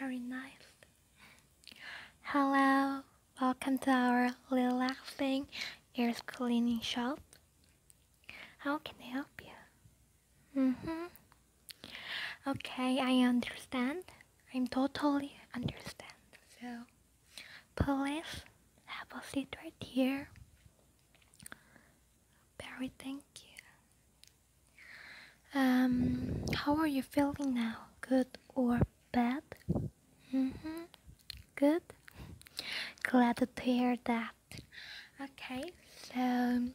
Very nice. Hello, welcome to our relaxing ear cleaning shop. How can I help you? Mm-hmm. Okay, I understand. I'm totally understand. So, please have a seat right here. Very thank you. Um, how are you feeling now? Good or bad? Mm-hmm. Good. Glad to hear that. Okay, so.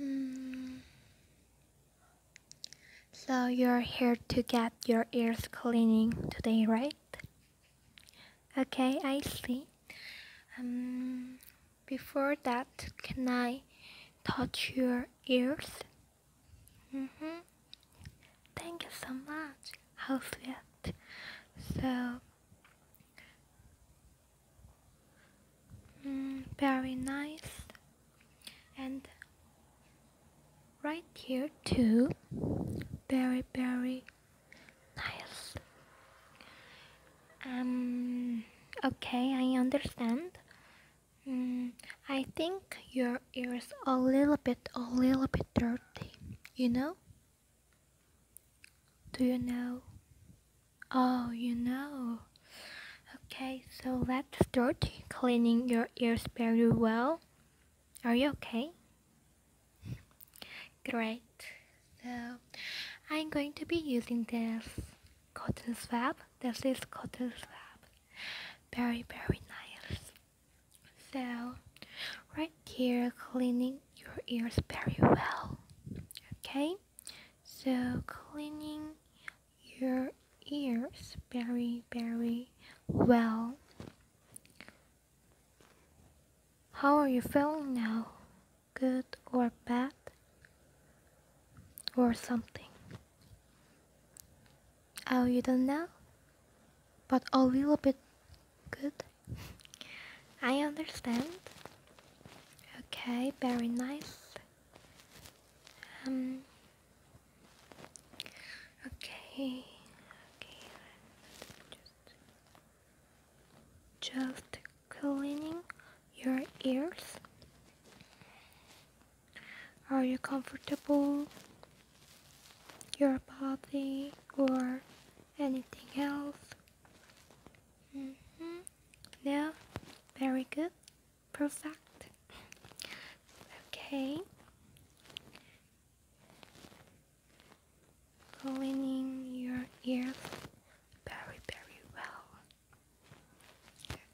Mm, so you're here to get your ears cleaning today, right? Okay, I see. Um, before that, can I touch your ears? Mm-hmm. Thank you so much. How sweet. So, mm, very nice. And right here too. Very, very Nice. Um, okay, I understand. Mm, I think your ears are a little bit, a little bit dirty. You know? Do you know? Oh, you know. Okay, so let's start cleaning your ears very well. Are you okay? Great. So I'm going to be using this cotton swab. This is cotton swab. Very, very nice. So right here, cleaning your ears very well. Okay. So cleaning your ears very, very well. How are you feeling now? Good or bad? Or something? Oh, you don't know? But a little bit good? I understand. Okay, very nice. Um, okay, okay. Just cleaning your ears. Are you comfortable? Your body or anything else? -hmm. Yeah, very good. Perfect. Okay cleaning your ears very, very well.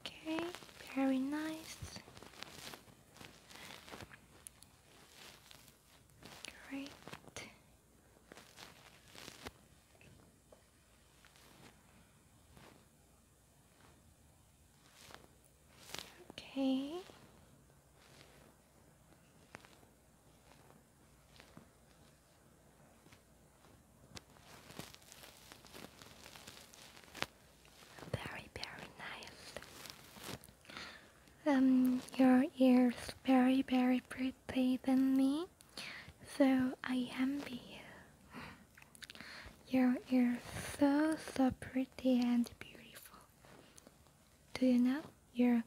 Okay, very nice. Great. Okay. Very, very nice. Um, your ears very, very pretty than me, so I envy you. Your ears so, so pretty and beautiful. Do you know you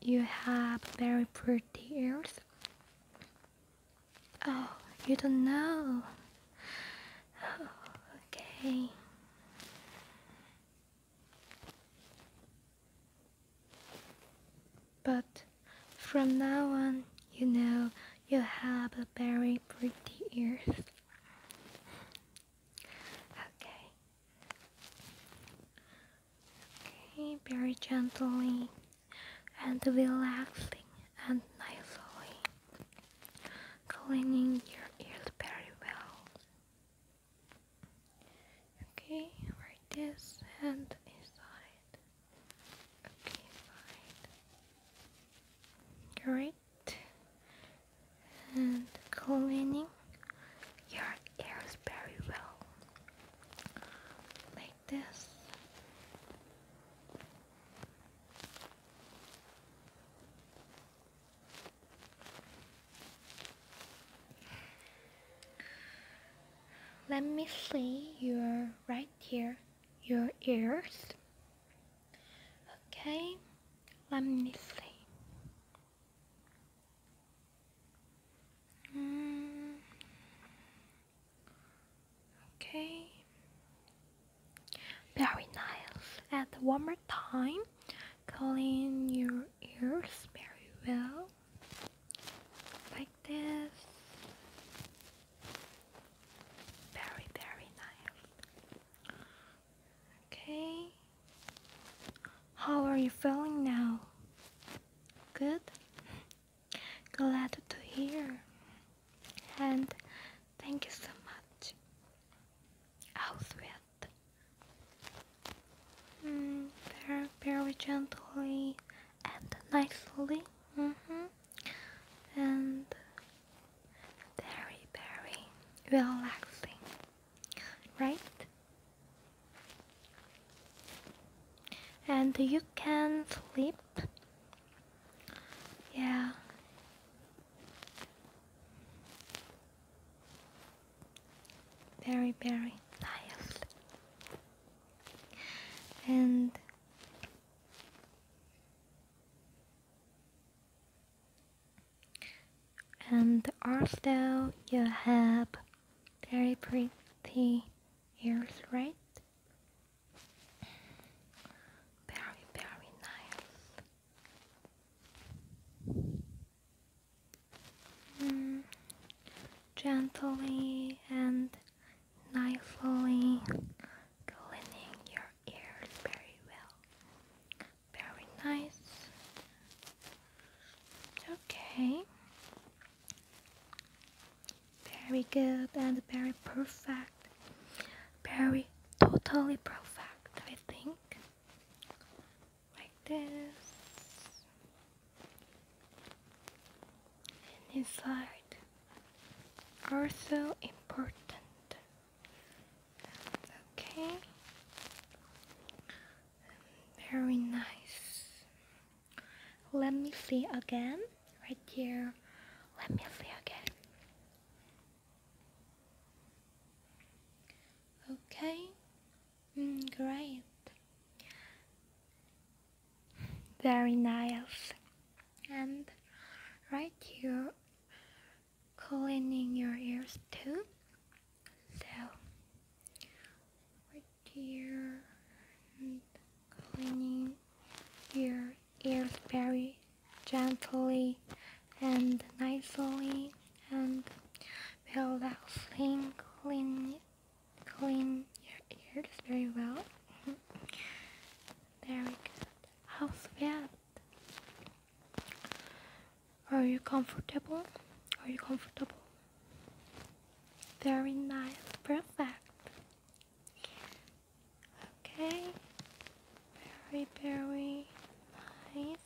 you have very pretty ears? Oh, you don't know. okay. But from now on, you know you have very pretty ears. Okay. Okay, very gently and relaxing and nicely cleaning your ears very well. Okay, right this and inside. Okay, fine. Great and cleaning your ears very well like this let me see your right ear, your ears Okay, let me see. Okay, very nice. And one more time, clean your ears very well, like this. Very, very nice. Okay. How are you feeling now? Good? Glad to hear. And thank you so much. I'll sweat. Mm, very, very gently and nicely. Mm -hmm. And very, very relaxing, right? And you can sleep. Yeah. Very, very nice. And and also you have very pretty ears, right? Very, very nice. Mm, gently and knifely cleaning your ears very well. Very nice. Okay. Very good and very perfect. Very totally perfect, I think. Like this and inside are so important. okay. Very nice. Let me see again. Right here. Let me see again. Okay. Mm, great. Very nice. And right here, cleaning your ears too. So, right here, and cleaning your ears very gently and nicely and we'll clean, clean clean your ears very well. There we go. How's that? Are you comfortable? Are you comfortable? Very nice. Perfect. Okay. Very, very nice.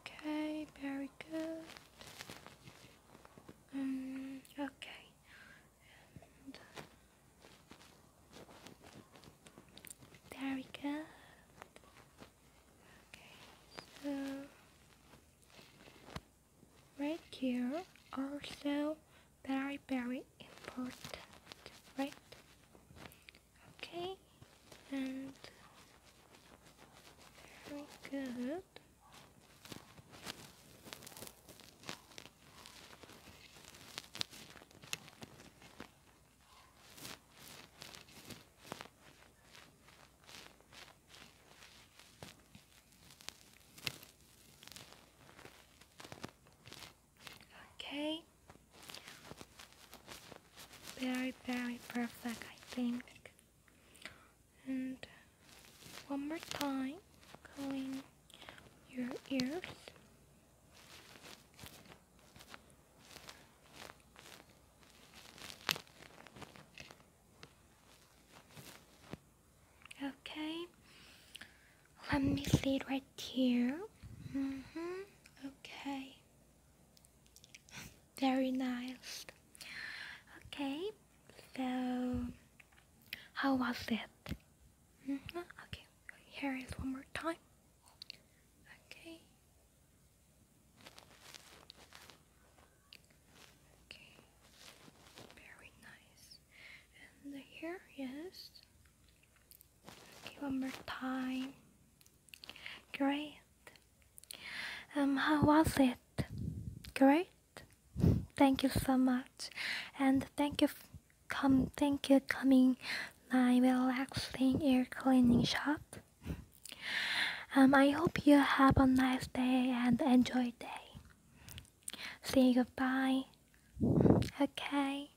Okay, very good. Um, okay, very good. Okay, so right here also very very important, right? Okay, and very good. Okay very, very perfect, I think. And one more time, clean your ears. Okay, let me see it right here. Mm hmm Okay. Very nice. Okay, so how was it? Mm -hmm. Okay, here is one more time. Okay. Okay, very nice. And here, Okay, one more time. Great. Um, how was it? Great. Thank you so much, and thank you, come, thank you coming my relaxing air cleaning shop. Um, I hope you have a nice day and enjoy day. See you goodbye. Okay.